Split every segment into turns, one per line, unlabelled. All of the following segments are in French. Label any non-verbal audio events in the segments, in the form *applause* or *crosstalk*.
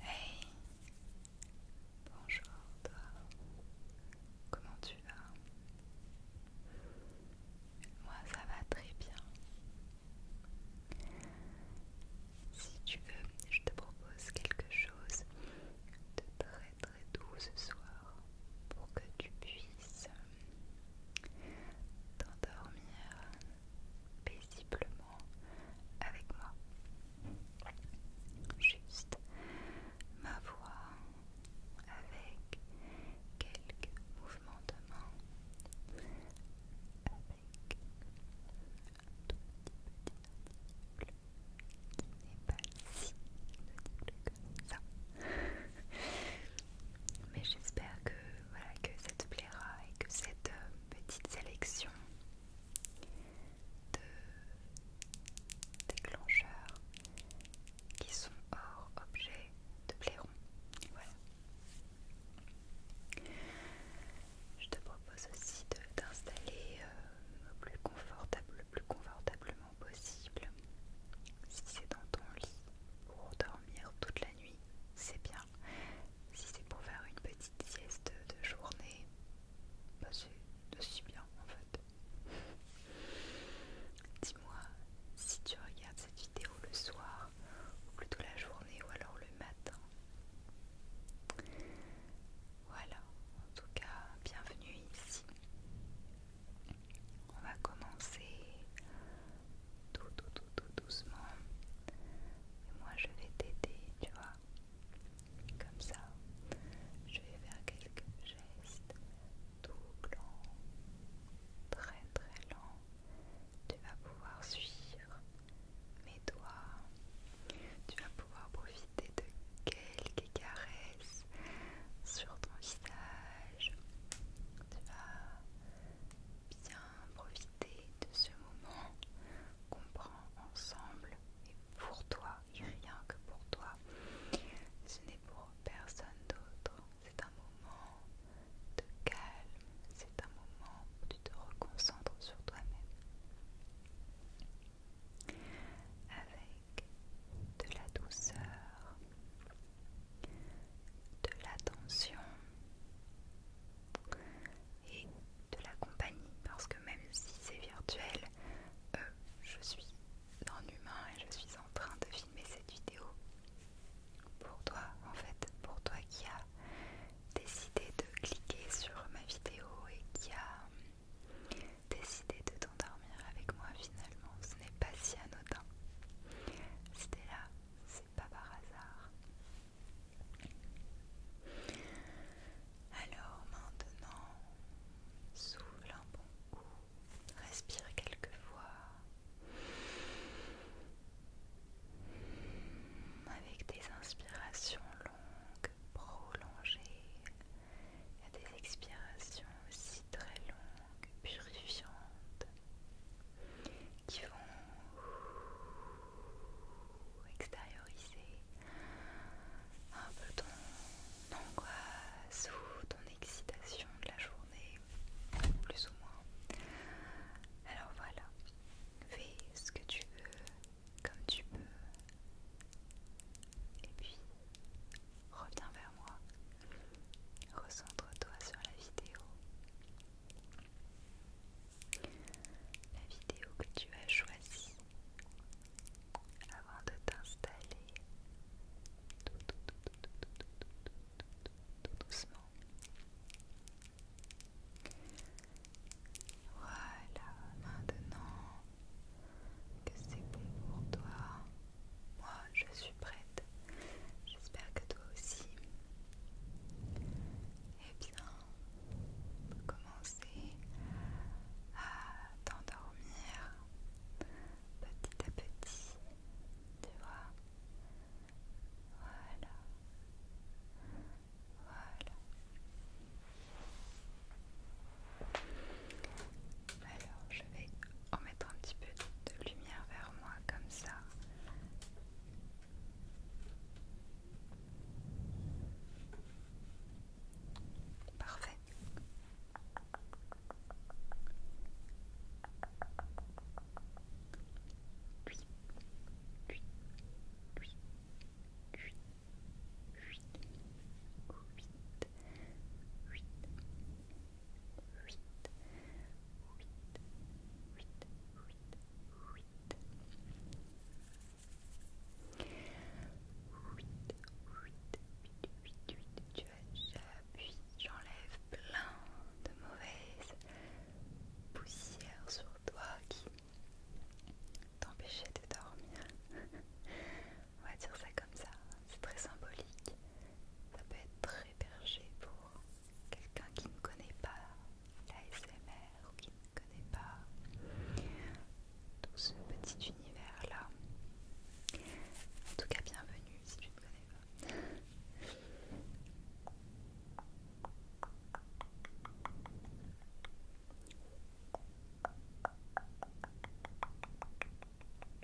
Hey Bonjour toi Comment tu vas Moi ça va très bien Si tu veux, je te propose quelque chose de très très doux ce soir pour que tu puisses t'endormir paisiblement avec moi. Juste ma voix avec quelques mouvements de main, avec un tout petit peu qui n'est pas si ça. Mais j'espère que, voilà, que ça te plaît et que cette euh, petite sélection de déclencheurs qui sont hors objet de plairon. Voilà. Je te propose aussi d'installer euh, le plus confortablement possible. Si c'est dans ton lit pour dormir toute la nuit, c'est bien. Si c'est pour faire une petite sieste de journée, bah c'est aussi bien en fait. *laughs* Dis-moi si tu regardes cette vidéo le soir, ou plutôt la journée, ou alors le matin. Voilà, en tout cas, bienvenue ici. On va commencer tout, tout, tout, tout doucement. Et moi, je vais t'aider, tu vois, comme ça. Je vais faire quelques gestes tout lents, très, très lents. Tu vas pouvoir suivre mes doigts. Tu vas pouvoir profiter de quelques caresses sur ton visage. Tu vas bien profiter de ce moment qu'on prend ensemble et pour toi et rien que pour toi. Ce n'est pour personne d'autre. C'est un moment de calme. C'est un moment où tu te reconcentres sur toi-même. Avec de la douceur, de l'attention et de la compagnie parce que même si c'est virtuel, euh, je suis en humain et je suis en train de filmer cette vidéo pour toi en fait, pour toi qui a décidé de cliquer sur ma vidéo et qui a décidé de t'endormir avec moi finalement, ce n'est pas si anodin. c'était là, pas par hasard. Alors maintenant, souffle un bon coup, respire quelques fois avec des inspirations longues, prolongées, et des expirations aussi très longues purifiantes qui vont extérioriser un peu ton angoisse ou ton excitation de la journée, plus ou moins. Alors voilà, fais ce que tu veux, comme tu peux, et puis reviens vers moi. Recentre-toi sur la vidéo. La vidéo que tu as choisie avant de t'installer tout doucement. Voilà, maintenant que c'est bon pour toi, moi, je suis prête. J'espère que toi aussi. Eh bien, on peut commencer à t'endormir petit à petit. Tu vois Voilà. Voilà. Alors, je vais en mettre un petit peu de lumière vers moi comme ça. Parfait. 8, 8, 8, 8, 8. 8, 8, 8, 8, j'enlève plein de mauvaises poussières sur toi qui t'empêcher de dormir. On va dire ça comme ça, c'est très symbolique, ça peut être pour quelqu'un qui ne connaît pas l'ASMR ou qui ne connaît pas tout ce petit univers-là. En tout cas, bienvenue si tu ne connais pas.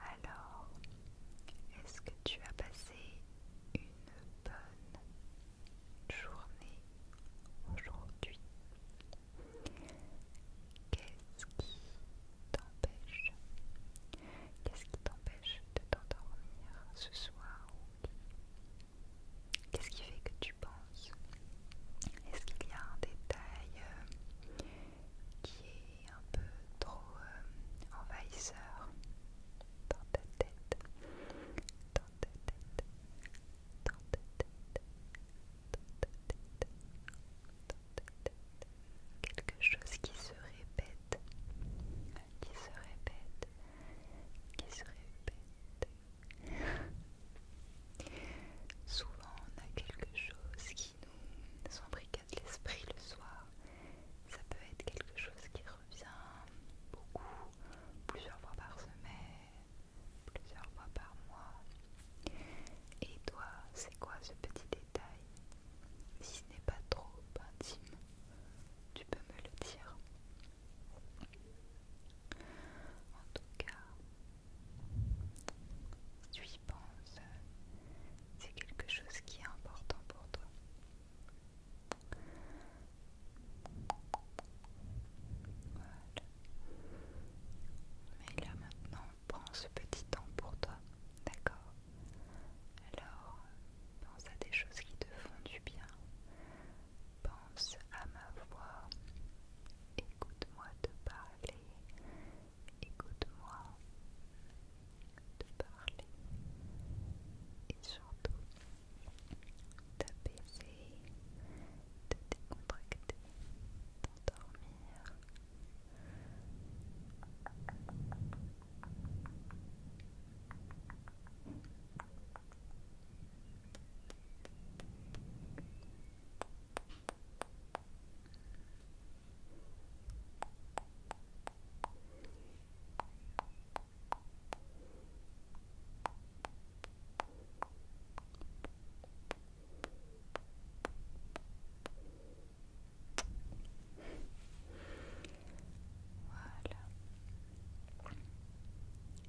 Alors, est-ce que tu as passé une bonne journée aujourd'hui Qu'est-ce qui t'empêche Qu'est-ce qui t'empêche de t'endormir ce soir Qu'est-ce qui fait que tu penses Est-ce qu'il y a un détail euh, qui est un peu trop euh, envahisseur dans ta tête Dans ta tête Quelque chose qui se répète, qui se répète, qui se répète. Souvent on a quelque chose qui nous embricade l'esprit le soir. Ça peut être quelque chose qui revient beaucoup, plusieurs fois par semaine, plusieurs fois par mois. Et toi, c'est quoi ce petit détail Si ce n'est pas trop intime, tu peux me le dire. En tout cas, tu y penses, c'est quelque chose qui est important pour toi. Mais là maintenant, prends ce petit temps pour toi, d'accord Alors, pense à des choses qui te font du bien. Pense à ma voix. Écoute-moi te parler. Écoute-moi te parler. Et surtout, t'apaiser, te décontracter, t'endormir. Voilà.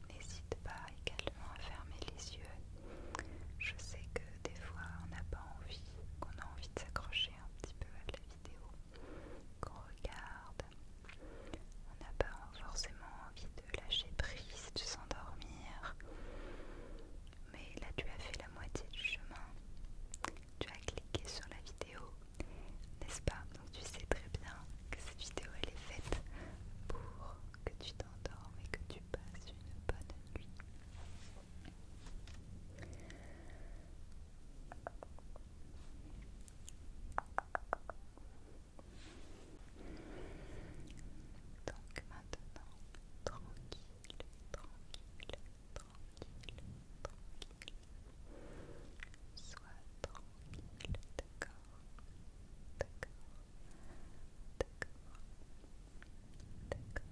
N'hésite pas également à fermer les yeux. Je sais que des fois on n'a pas envie, qu'on a envie de s'accrocher un petit peu à la vidéo qu'on regarde. On n'a pas forcément envie de lâcher prise, de s'endormir. Mais là, tu as fait la moitié du chemin. Tu as cliqué sur la vidéo, n'est-ce pas Donc tu sais très bien que cette vidéo, elle est faite pour que tu t'endormes et que tu passes une bonne nuit. Donc maintenant, tranquille, tranquille, tranquille, tranquille. Sois tranquille, d'accord, d'accord, d'accord, d'accord.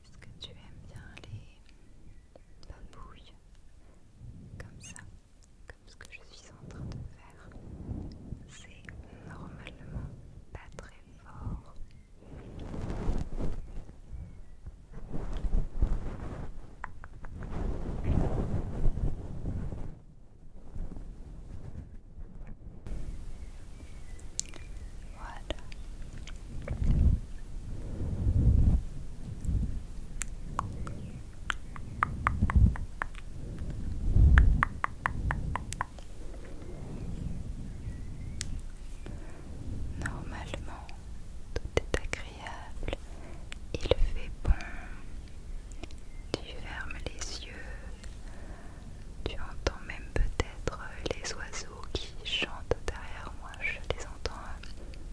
est que tu aimes bien les babouilles comme ça, comme ce que je suis en train de faire C'est normalement pas très fort. Voilà, Normalement, tout est agréable, il fait bon, tu fermes les yeux, tu entends même peut-être les oiseaux qui chantent derrière moi, je les entends.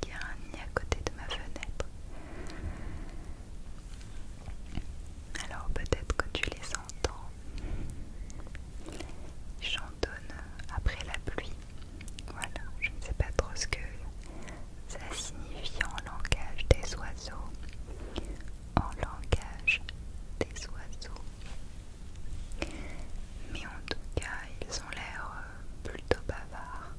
Il y a un nid à côté de ma fenêtre. Alors peut-être que tu les entends. Ils chantonnent après la pluie. Voilà, je ne sais pas trop ce que ça signifie en langage des oiseaux. En langage des oiseaux. Mais en tout cas, ils ont l'air euh, plutôt bavards.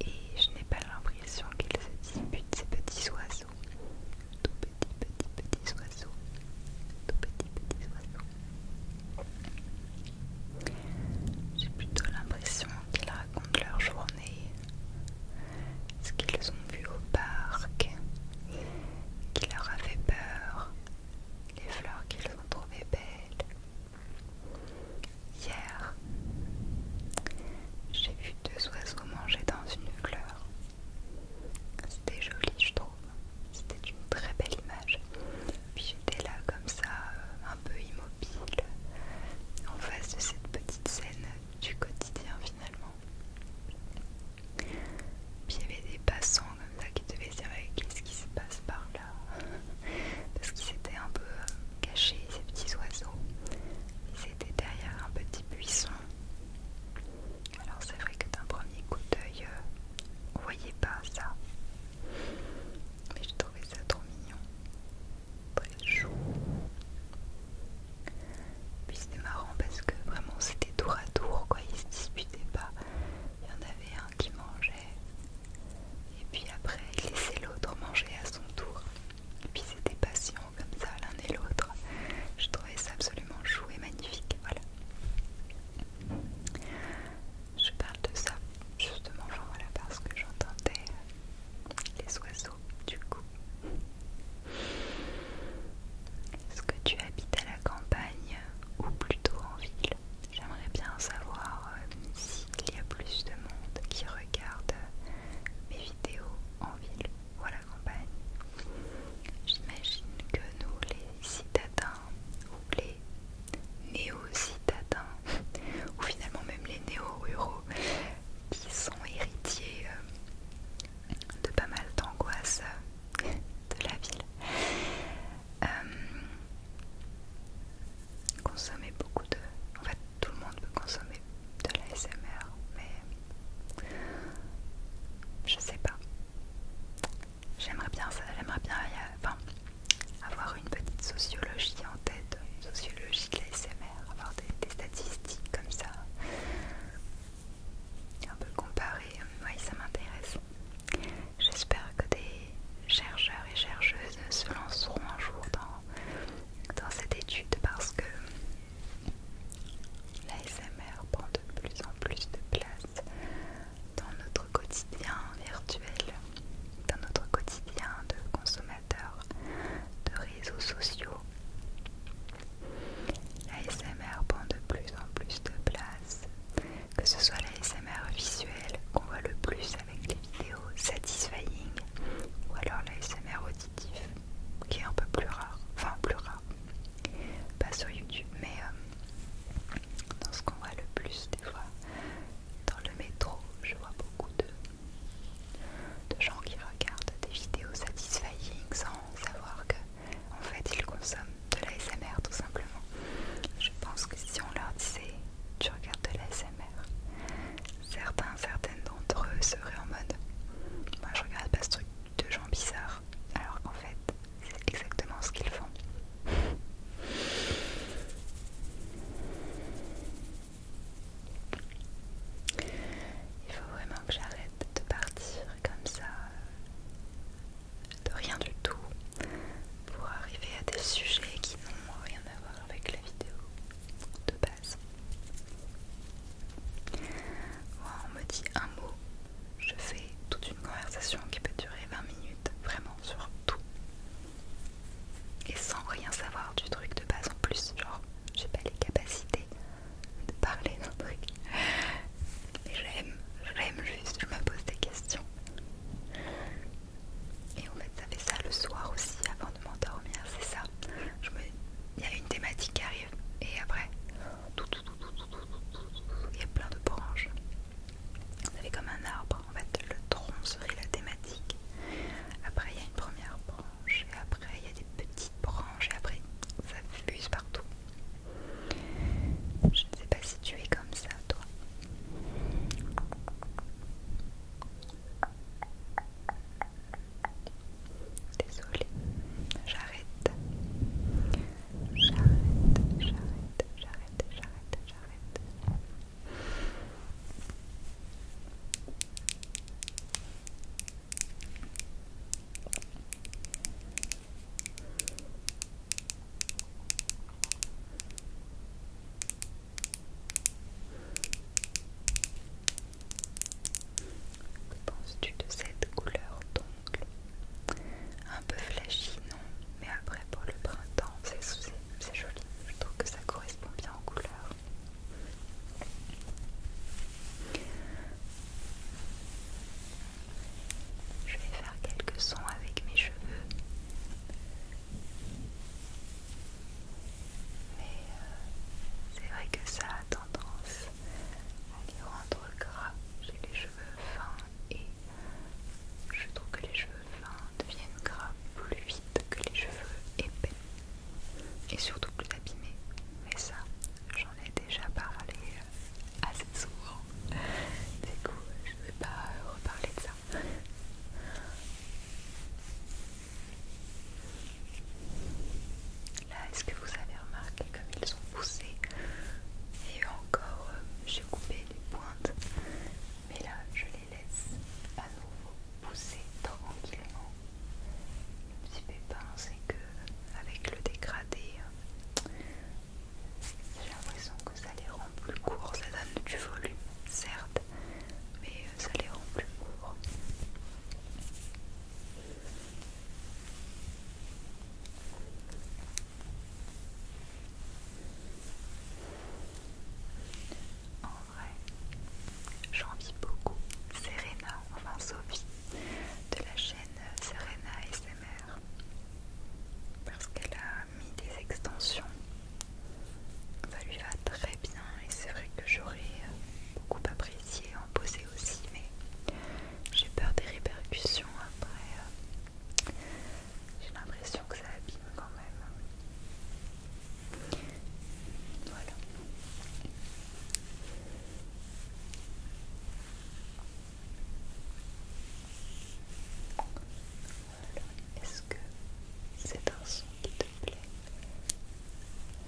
Et je n'ai pas l'impression qu'ils se disputent ces petits oiseaux. Tout petits, petits, petits oiseaux. Tout petits, petits oiseaux. J'ai plutôt l'impression qu'ils racontent leur journée, ce qu'ils ont vu au parc, qui leur a fait peur, les fleurs qu'ils ont trouvées belles. Hier, j'ai vu deux oiseaux manger dans une fleur. C'était joli, je trouve. C'était une très belle image. Puis j'étais là comme ça, euh, un peu immobile, en face de cette petite scène du quotidien finalement. Puis il y avait des passants comme ça qui devaient se dire eh, qu'est-ce qui se passe par là *laughs* Parce qu'ils étaient un peu euh, cachés, ces petits oiseaux. Ils étaient derrière un petit buisson. Alors c'est vrai que d'un premier coup d'œil, euh, on voyait pas ça. Mais j'ai trouvé ça trop mignon. Très chou c'était marrant parce que vraiment c'était tour à tour quoi, ils se disputaient pas. Il y en avait un qui mangeait et puis après il laissait l'autre manger à son tour. Et puis c'était patient comme ça l'un et l'autre. Je trouvais ça absolument chou et magnifique. Voilà. Je parle de ça justement parce que j'entendais les oiseaux du coup. Est-ce que tu habites à la campagne ou plutôt en ville J'aimerais bien savoir euh, s'il y a plus de monde qui regarde mes vidéos en ville ou à la campagne. J'imagine que nous, les citadins ou les néo-citadins, *laughs* ou finalement même les néo-ruraux, qui sont héritiers euh, de pas mal d'angoisses *laughs* de la ville. Euh, consommer beaucoup de... En fait, tout le monde peut consommer de la SMR, mais je sais pas. J'aimerais bien ça, j'aimerais bien avoir une petite sociologie en tête, une sociologie de la SMR, avoir des statistiques comme ça un peu comparer, euh, oui ça m'intéresse. J'espère que des chercheurs et chercheuses se lanceront un jour dans, dans cette étude parce que l'ASMR prend de plus en plus de place dans notre quotidien virtuel, dans notre quotidien de consommateurs de réseaux sociaux. La SMR prend de plus en plus de place, que ce soit SMR visuel qu'on voit le plus avec les vidéos satisfying ou alors l'ASMR auditif qui est un peu plus rare, enfin plus rare, pas sur YouTube mais euh, dans ce qu'on voit le plus des fois. Dans le métro, je vois beaucoup de gens qui regardent des vidéos satisfying sans savoir que en fait ils consomment de la SMR tout simplement. Je pense que si on leur disait tu regardes de l'ASMR », certains, certaines d'entre eux seraient en mode moi je regarde pas ce truc de gens bizarres alors qu'en fait c'est exactement ce qu'ils font. Il faut vraiment j'arrête de partir comme ça, de rien du tout, pour arriver à des sujets qui n'ont rien à voir avec la vidéo de base. On me dit un mot, je fais toute une conversation qui peut durer 20 minutes, vraiment sur tout. Et sans rien savoir du truc de base en plus, genre j'ai pas les capacités de parler d'un truc. je l'aime juste, je me pose des questions. Et en fait, ça fait ça le soir aussi, avant de m'endormir, c'est ça. Il y a une thématique qui arrive, et après, il y a plein de branches. Vous avez comme un arbre, en fait, le tronc serait la thématique. Après, il y a une première branche et après il y a des petites branches, et après ça fuse partout. Je ne sais pas si tu es comme ça, toi. Désolée, j'arrête. J'arrête, j'arrête, j'arrête, j'arrête, j'arrête. Que penses-tu de cette couleur d'ongle Un peu flashy, non Mais après, pour le printemps, c'est joli. Je trouve que ça correspond bien aux couleurs. Je vais faire quelques sons avec mes cheveux. Mais euh, c'est vrai que ça a tendance à les rendre gras. J'ai les cheveux fins et je trouve que les cheveux fins deviennent gras plus vite que les cheveux épais et surtout plus abîmé. Mais ça, j'en ai déjà parlé euh, assez souvent. Du coup, je ne vais pas euh, reparler de ça. Là, est-ce que vous avez remarqué comme ils sont poussés Et encore, euh, j'ai coupé les pointes. Mais là, je les laisse à nouveau pousser tranquillement le petit pépin, c'est que avec le dégradé, euh, j'ai l'impression que ça les rend plus courts. Ça donne du volume, certes, mais euh, ça les rend plus courts. J'envie beaucoup Serena, enfin Sophie, de la chaîne Serena SMR. Parce qu'elle a mis des extensions. Ça lui va très bien et c'est vrai que j'aurais beaucoup apprécié en poser aussi, mais j'ai peur des répercussions après. J'ai l'impression que ça abîme quand même. Voilà. Est-ce que c'est un son qui te plaît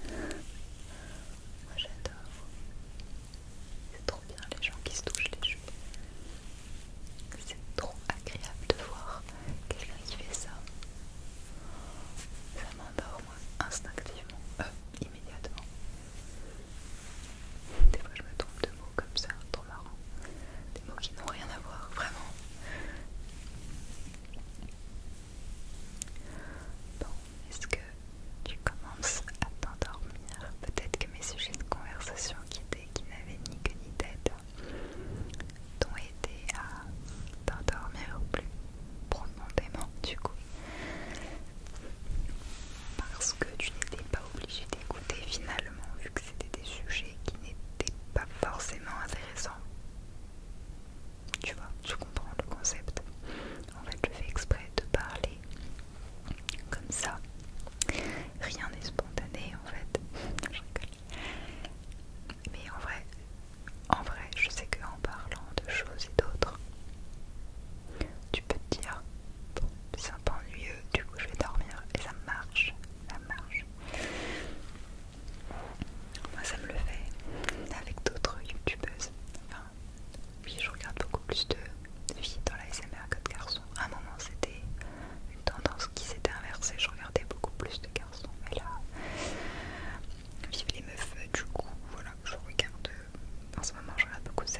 Moi j'adore. C'est trop bien les gens qui se touchent les cheveux. C'est trop agréable de voir quelqu'un qui fait ça ça m'endorme instinctivement, euh, immédiatement. Des fois je me trompe de mots comme ça, trop marrant. Des mots qui n'ont rien à voir, vraiment. Bon, est-ce que tu commences à t'endormir Peut-être que mes sujets de conversation qui, étaient, qui n'avaient ni queue ni tête t'ont aidé à t'endormir plus profondément du coup parce que tu n'étais pas obligé d'écouter finalement vu que c'était des sujets qui n'étaient pas forcément intéressants tu vois tu comprends le concept en fait je fais exprès de parler comme ça rien n'est spontané en fait je rigole mais en vrai en vrai, je sais qu'en parlant de choses et d'autres, tu peux te dire, bon, c'est un peu ennuyeux, du coup je vais dormir et ça marche, ça marche. Moi ça me le fait avec d'autres youtubeuses. Enfin, oui, je regarde beaucoup plus de filles dans la SMR que de garçons. À un moment, c'était une tendance qui s'était inversée, je regardais beaucoup plus de garçons, mais là, Vive les meufs, euh, du coup, voilà, je regarde. Euh, en ce moment, je regarde beaucoup de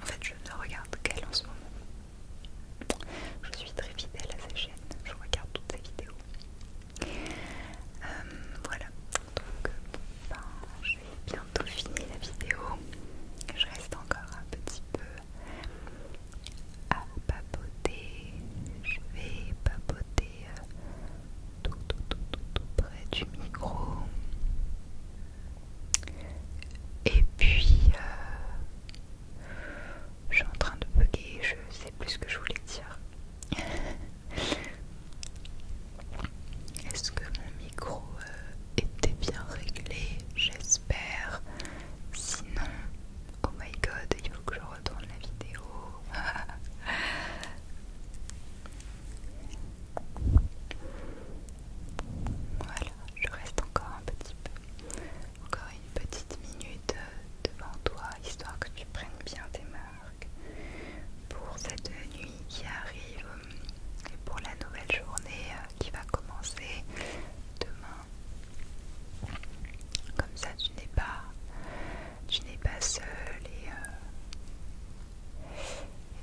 En fait, je ne regarde qu'elle en ce moment. Je suis très fidèle à sa chaîne, je regarde toutes ses vidéos. Euh, voilà, donc ben, je bientôt fini la vidéo. Je reste encore un petit peu à papoter. Je vais papoter euh, tout, tout, tout, tout, près du micro. Et puis, euh, je suis en train de bugger, je sais plus ce que je voulais dire. Est-ce que mon micro euh, était bien réglé J'espère. Sinon, Oh my god, il faut que je retourne la vidéo. *laughs* voilà, je reste encore un petit peu. Encore une petite minute euh, devant toi, histoire que tu prennes bien tes marques pour cette nuit qui arrive euh, et pour la nouvelle journée euh, qui va commencer demain. Comme ça, tu n'es pas, tu n'es pas seul et, euh,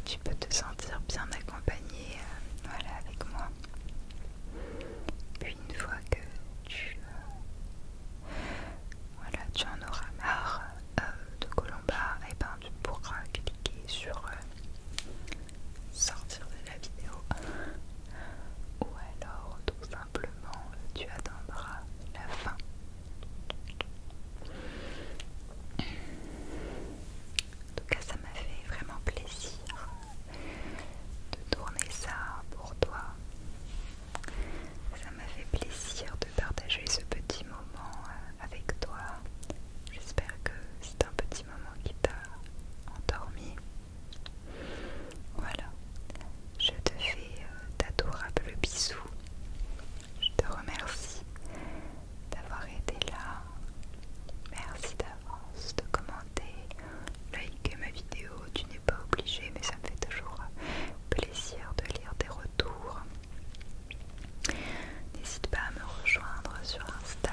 tu peux te sentir bien accompagné, euh, voilà, avec moi. Puis une fois que tu, euh, voilà, tu en auras marre de Colomba, eh ben, tu pourras cliquer sur sortir de la vidéo ou alors tout simplement tu atteindras la fin. En tout cas ça m'a fait vraiment plaisir de tourner ça pour toi. Ça m'a fait plaisir de partager ce petit moment euh, avec toi. J'espère que c'est un petit moment qui t'a endormi. Voilà, je te fais euh, d'adorables bisous. Je te remercie d'avoir été là. Merci d'avance de commenter, liker ma vidéo. Tu n'es pas obligé, mais ça me fait toujours euh, plaisir de lire tes retours. N'hésite pas à me rejoindre sur Insta.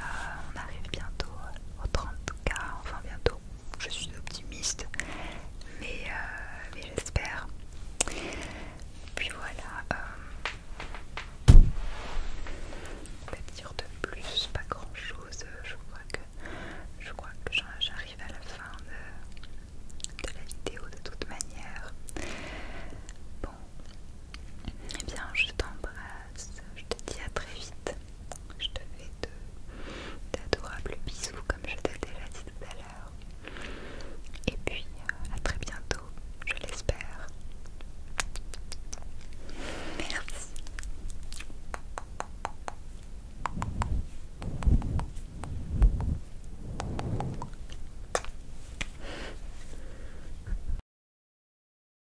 On arrive bientôt euh, au 30K, enfin bientôt. Je suis optimiste, mais, euh, j'espère. Puis voilà. Euh, pas dire de plus, pas grand chose. Je crois que je crois que j'arrive à la fin de, de la vidéo de toute manière. Bon, eh bien, je t'embrasse. Je te dis à très vite. Je te fais d'adorables bisous comme je t'ai déjà dit tout à l'heure. Et puis euh, à très bientôt, je l'espère. Merci.